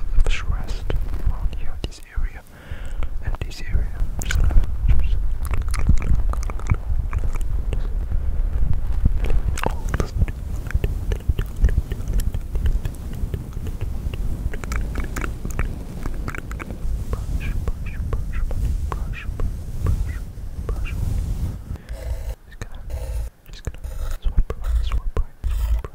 of stress around here, this area, and this area. Just, just, oh, listen. Brush, brush, brush, brush, brush, brush. Just gonna, just gonna swipe right, swipe right, swipe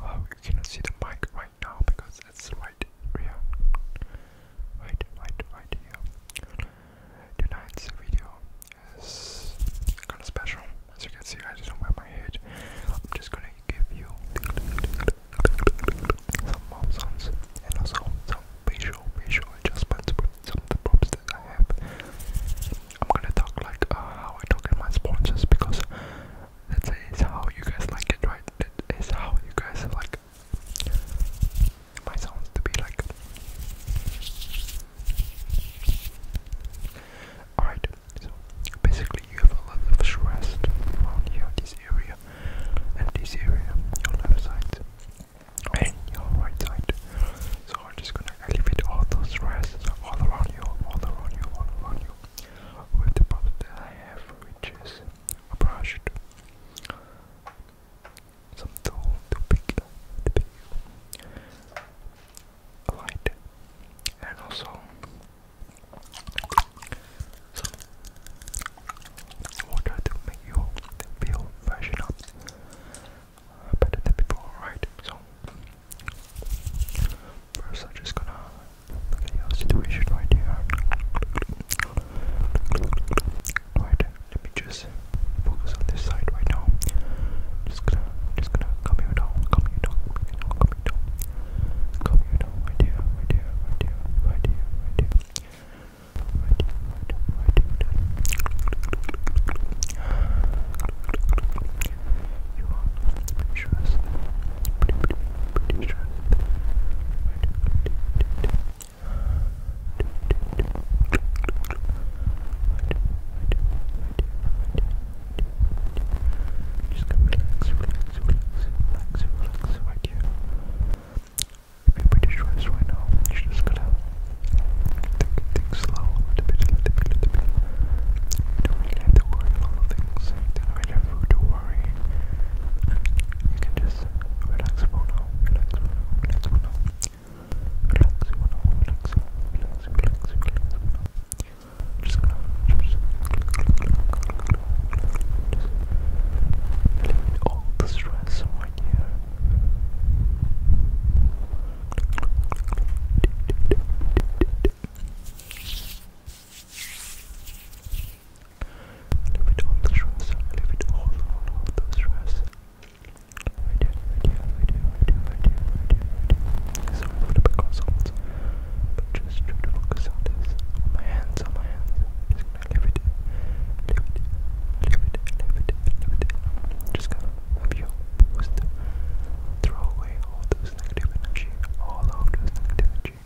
Well, you cannot see the mic right now because it's right here. Right, right, right here. Tonight's video is kind of special. As you can see, I just don't wear my head. I'm just gonna give you some mouth sounds and also some facial, facial adjustments with some of the props that I have. I'm gonna talk like uh, how I talk in my sponsors because that is how you guys like it, right? That is how you guys like my sounds to be like. Alright, so basically you have a lot of stress around here, this area, and this area, your left side and your right side. So I'm just gonna elevate all those stress all around you, all around you, all around you with the product I have, which is a brush, some tool to pick, to pick a and also some water to make you feel freshen up better than before, right? So, first I'm just gonna look at your situation right here. Right, let me just focus on this side right now. Just gonna, just gonna calm you down, calm you down, calm you down, calm you down, calm you down, right here, right here, right just gonna relax, relax, relax, relax, relax right here i pretty sure it's right now. You just gotta take things slow, a little bit, a little bit, a little bit. You don't really have to worry a lot of things. You don't really have to worry. You can just relax for now, relax for now, relax for now. Relax for now, relax, relax, relax, relax for now. Just gonna just Eliminate all the stress right here. Leave it all the stress, leave it all, all, all the stress. I do, I do, I do, I do, I do, I do. Sorry for the background sounds, but just to focus on this. my hands, on my hands. Just to leave it, leave it, Just gonna have you throw away all those negative all of those negative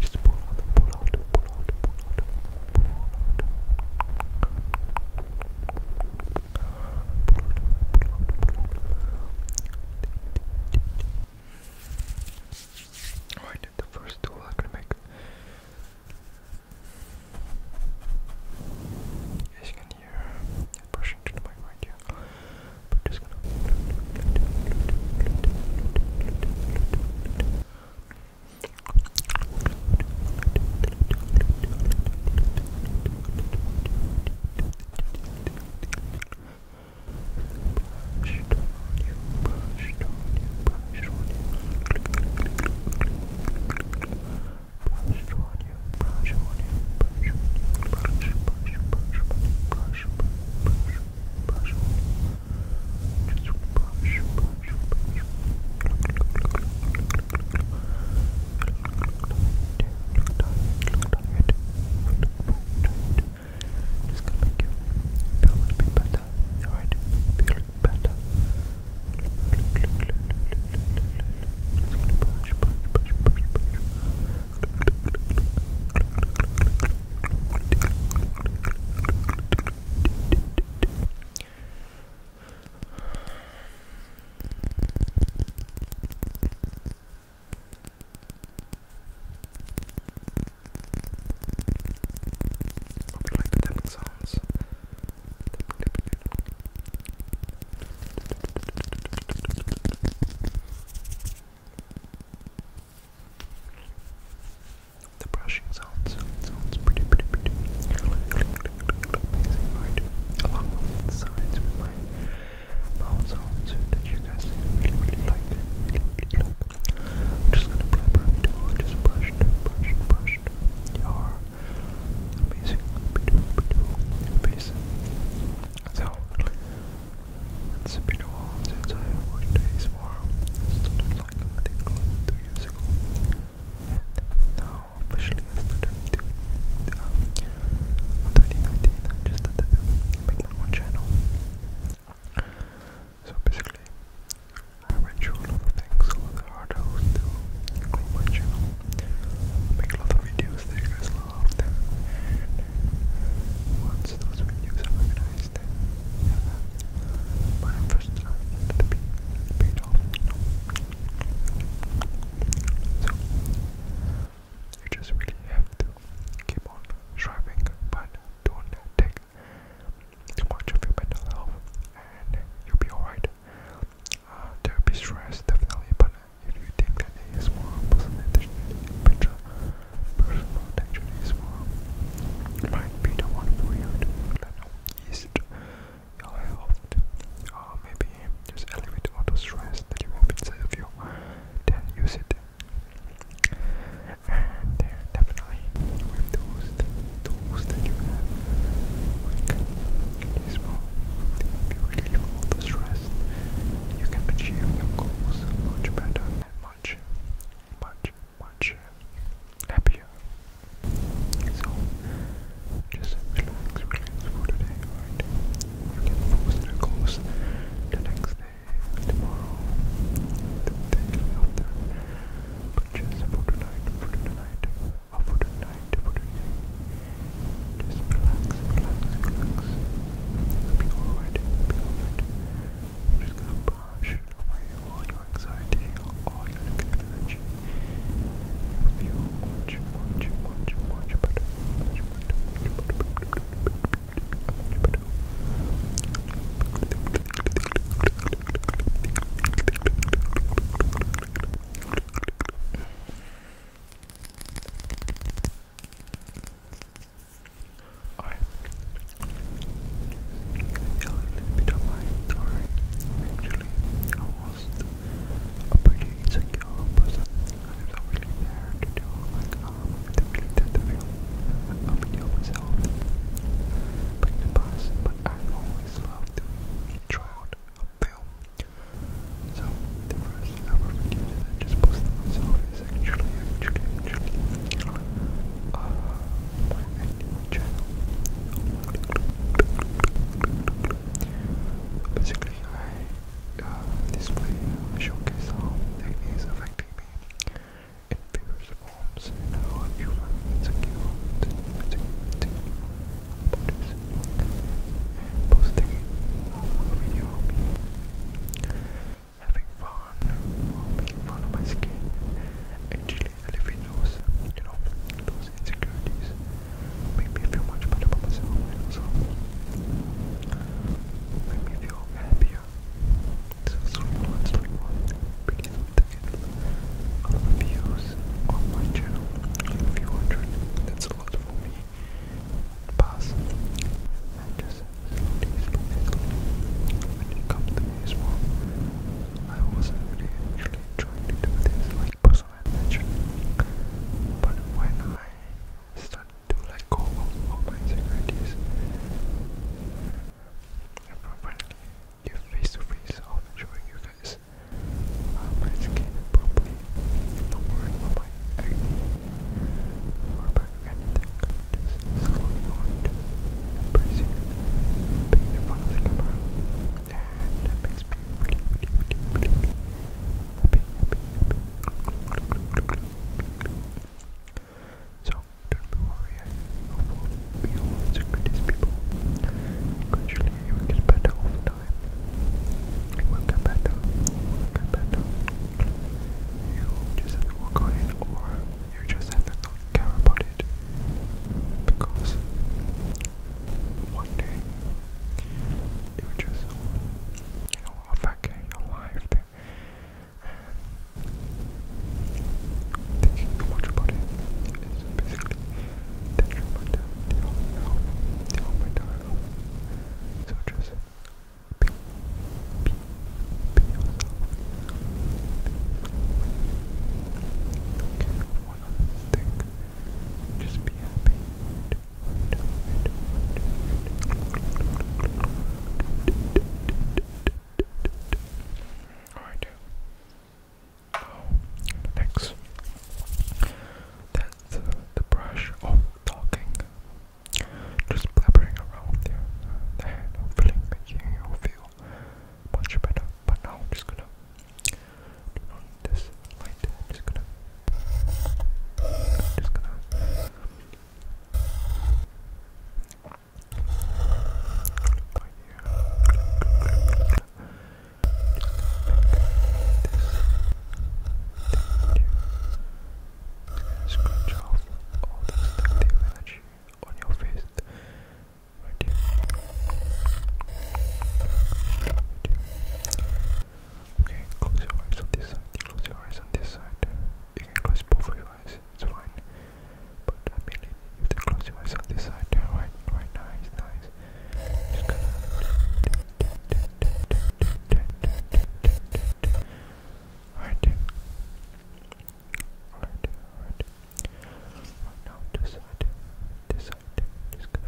Just pull out, pull out, pull out, pull out, pull out. Alright, the first tool I'm gonna make as you can hear, it's brushing to the mic right here. But just gonna. Brush it on you, brush it on you, brush brush on you. Brush on you, brush on you, brush on you, brush, brush, brush, brush, brush, brush, brush on you. Just brush, brush, brush. Look tired, look tired, look tired. Just gonna make you feel a little bit better, alright? Feel a look better. Brush, brush, brush, brush, I would like the tapping sounds the brushing sounds sounds pretty pretty pretty amazing right along with the sides with my mouth sounds that you guys really really like really really like I'm just gonna apply perfect oil, just brush, brush, brush your amazing beautiful face. So, it's been a while since I watched ASMR. I started like I think like two years ago. And now officially um, I started to, um, 2019 just to make my own channel. So basically, I went a lot of things over the hurdles to grow my channel, make a lot of videos that you guys loved, once those videos are organized, my first time be paid off. So, you just really have to keep on striving, but don't take to watch of your mental health and you'll be alright. Uh, be stress definitely, but if you think that it is more personal attention, better personal attention is more might be the one for you to let know ease your uh, maybe just elevate all the stress that you have inside of you, then use it and they're definitely with tools, tools that you have, like this one. If you really stress, you can achieve your goals much better much, much, much happier. So, just relax, relax for today, alright? You can focus on the next day, tomorrow, the day after. But just for tonight, for tonight, or for tonight, for today. Just relax, relax, relax. It'll be alright, it'll be alright. I'm just gonna brush away all your anxiety, all your negative energy. You'll feel much, much, much, much better. Much better, much better, much better, much better. Alright. Yeah, a little bit of my story. Actually, I was a pretty insecure person. I was not really there to do like um to really tend to feel myself. But in the past, I always loved to try out a film. So the first ever video that I just posted myself is actually, actually, actually, my acting channel. Basically, I uh, display, showcase how acne affecting me various forms now of human security, security bodies, posting a video of me having fun or fun of my skin. Actually, elevating those, you know, those insecurities make me feel much better about myself and make me feel happier so sweet please don't forget all the views on my channel, a few hundred, that's a lot for me. Pass. And just slowly, slowly, slowly, when it comes to me as well, I wasn't really trying to do this like personal adventure, but when I started to let go of my insecurities, and finally, face to face, I'll be showing you guys how um, I skate properly. not worry about my acne or anything. Just slowly on to embracing it, being in front of me so don't be worried, I hope we all the greatest people. Gradually it will get better over time. It will get better, it will get better. You just have to work on it or you just have to not care about it. Because one day it will just you know affect your life. Thinking too much about it is basically detrimental to your health, to your mental health. So just be, be, be yourself. Don't care what others think. Just be happy. And, and, and, and, and, and, and, and, and, Oh, I do. Oh, thanks. That's uh, the brush of talking. Just blabbering around there. and hopefully making you feel much better. But now I'm just gonna turn this light. I'm just gonna. just gonna Scratch off all the negative energy on your face. Right here. Okay, close your eyes on this side. Close your eyes on this side you can close both of your eyes, it's fine. But I mean, if they close your eyes on this side, right, right now, nice. Just gonna. Alright. Alright, Right now, this side, this side, just going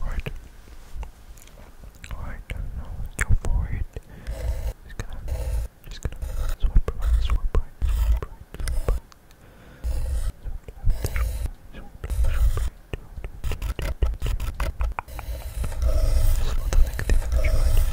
Right. Alright, now go for it. Just gonna, just gonna swipe right, swipe right, swipe right, swipe right. There's a lot of negative energy right now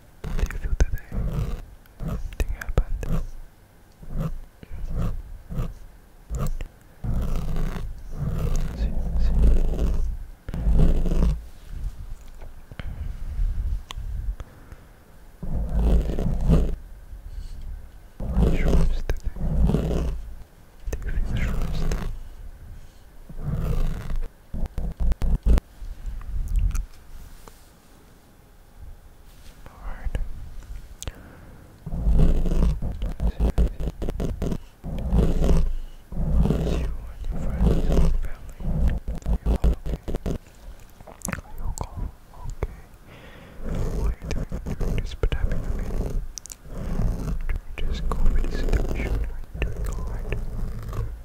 How you feel today? Anything happened? See, see. What today? Do feel shrubs? Alright. You and your friends and family. You're all okay. Are okay? What are you doing this pandemic? I mean, during this COVID situation, are you doing alright?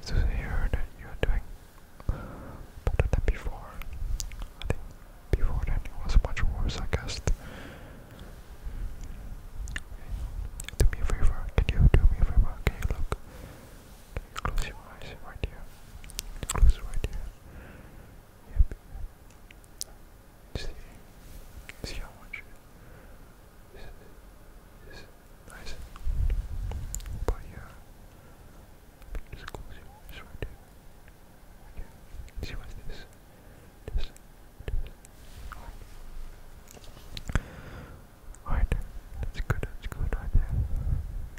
It's nice hear that you're doing better than before. I think before then it was much worse, I guess. Do me a favor. Can you do me a favor? Can you look? close your eyes right here? Close right here. Yep. See, see how much is nice. But yeah, just close it, just right Okay, see what's this? This, this. Alright, that's good, that's good right there.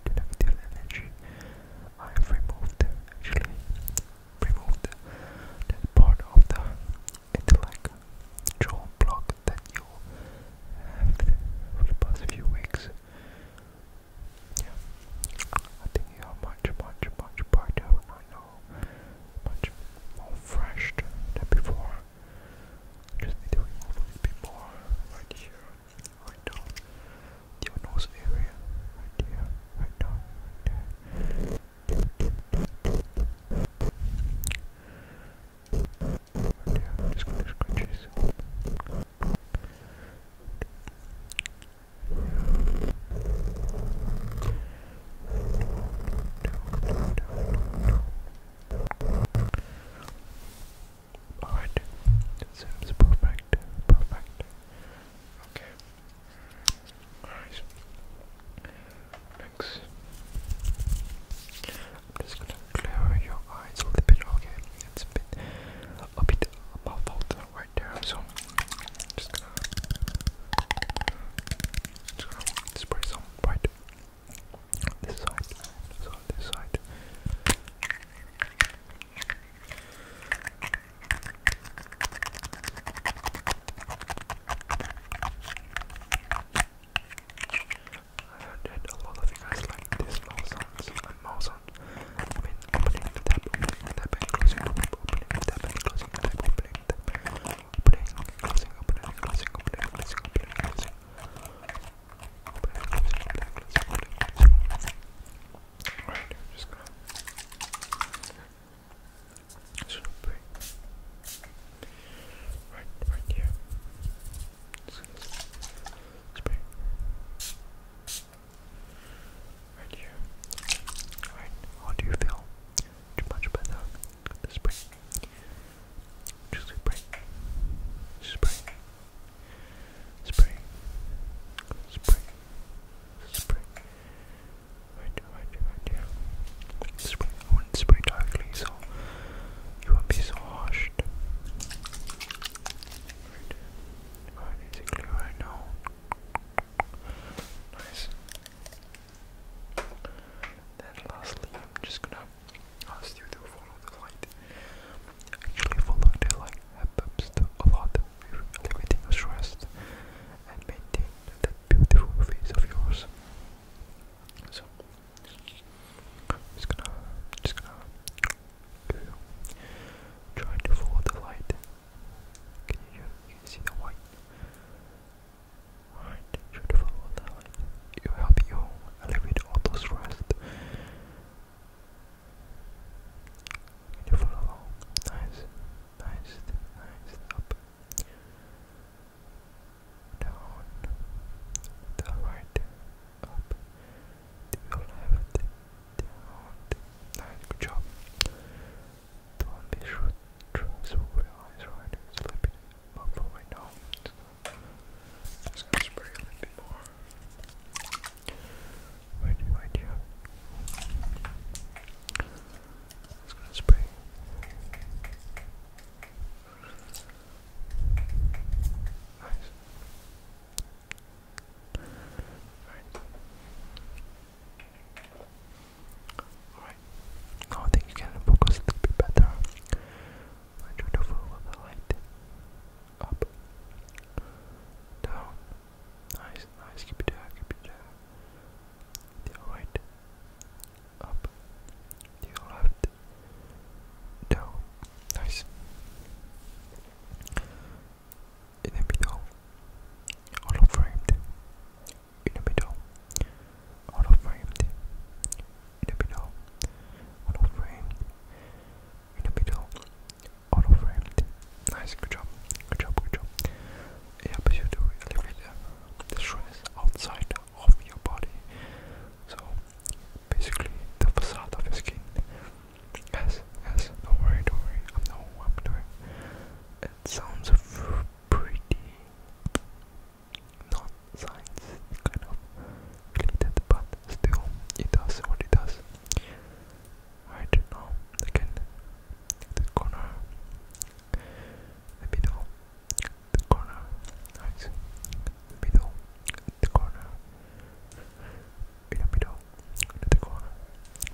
Did I energy? I have removed, actually, removed that part of the intellect jaw block hope that you have for the past few weeks. Yeah, I think you are much, much, much brighter right now, much more fresh than before. Just need a little bit more right here, right now, your nose area, right here, right now, right there. But yeah, I'm just gonna scratch this. Alright, that seems perfect, perfect. Okay. Alright. Next. I'm just gonna clear your eyes a little bit, okay? a bit a bit mouth out right there, so just gonna just gonna spray some right this side, this this side i heard a lot of you guys like this mouse sounds I mean, opening the tab, opening the tab, and closing, opening the tab, and closing the tab, opening the tab, opening, closing, opening, closing, opening, closing, opening, closing. Alright, I'm just gonna so pretty. Right, right here. Spray. Right here. Alright, how do you feel? Much better. spray. Just spray. Spray. Spray. Spray. Spray right, right, right, yeah. Spray, I wouldn't spray directly, so you won't be so harsh. Right, right, is it clear right Nice. Then lastly, I'm just gonna ask you to follow the light. Actually follow the light helps to lot the elevating your stress and maintaining that beautiful face of yours. So just gonna just gonna try to follow the light. Can you, see the white? Alright, try to follow the light. it help you alleviate all those stress. Can you follow along? Nice, nice, nice, up down the right, up to your left, down. good job. Don't be sure to realize right, a little bit muffled Just gonna spray a little bit more. right here. It's gonna spray. Nice. Alright. Alright. Oh, now I think you can focus a little bit better. I try to follow the light. Up. Down. Nice, nice. Keep it there, keep it there right, up, to your left, down. Nice. In the middle, hollow framed. In the middle, hollow framed. In the middle, hollow framed. In the middle, hollow framed. Nice, good job, good job, good job it helps you to relieve uh, the, the stress outside of your body. So basically, the facade of your skin. Yes, yes, don't worry, don't worry. I know what I'm doing. It sounds pretty not science kind of related, but still, it does what it does. Right now, again, the corner the middle, the corner, nice, the middle, the corner, in the middle, in the corner,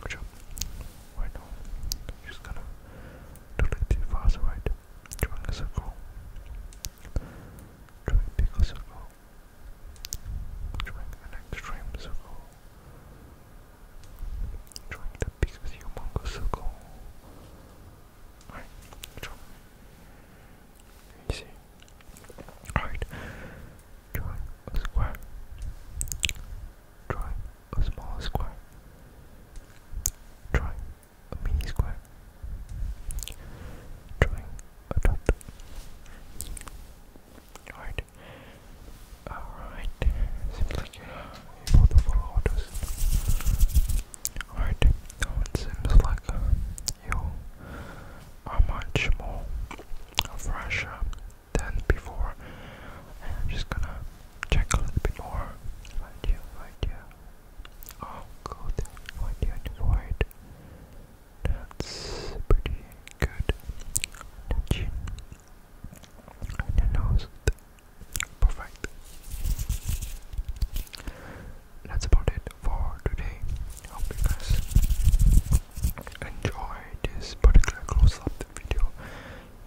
good job, right now, just gonna do it too fast, right, drawing a circle, drawing a bigger circle, drawing an extreme circle, Trying to pick with your mongo circle. Alright, drop. Alright. Draw a square. Draw a small square. Draw a mini square. Drawing a dot. Alright. Alright, seems like you're not Alright, it seems like uh, you are much more fresher than before. just gonna check a little bit more. Right here, right here. Oh, good. Right here and That's pretty good. The and Perfect. That's about it for today. Hope you guys enjoy this particular close-up video.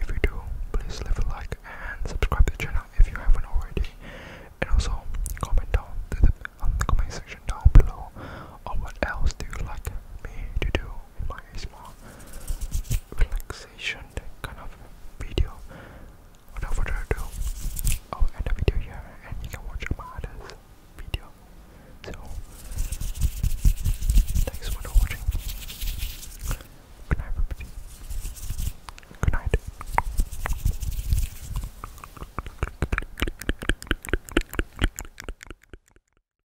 If you do, please leave a like and subscribe the channel if you haven't already. And also comment down on the comment section down below on oh, what else do you like me to do by small relaxation kind of video. Without further ado, I'll end the video here and you can watch my other video. So, thanks for watching. Good night, everybody. Good night.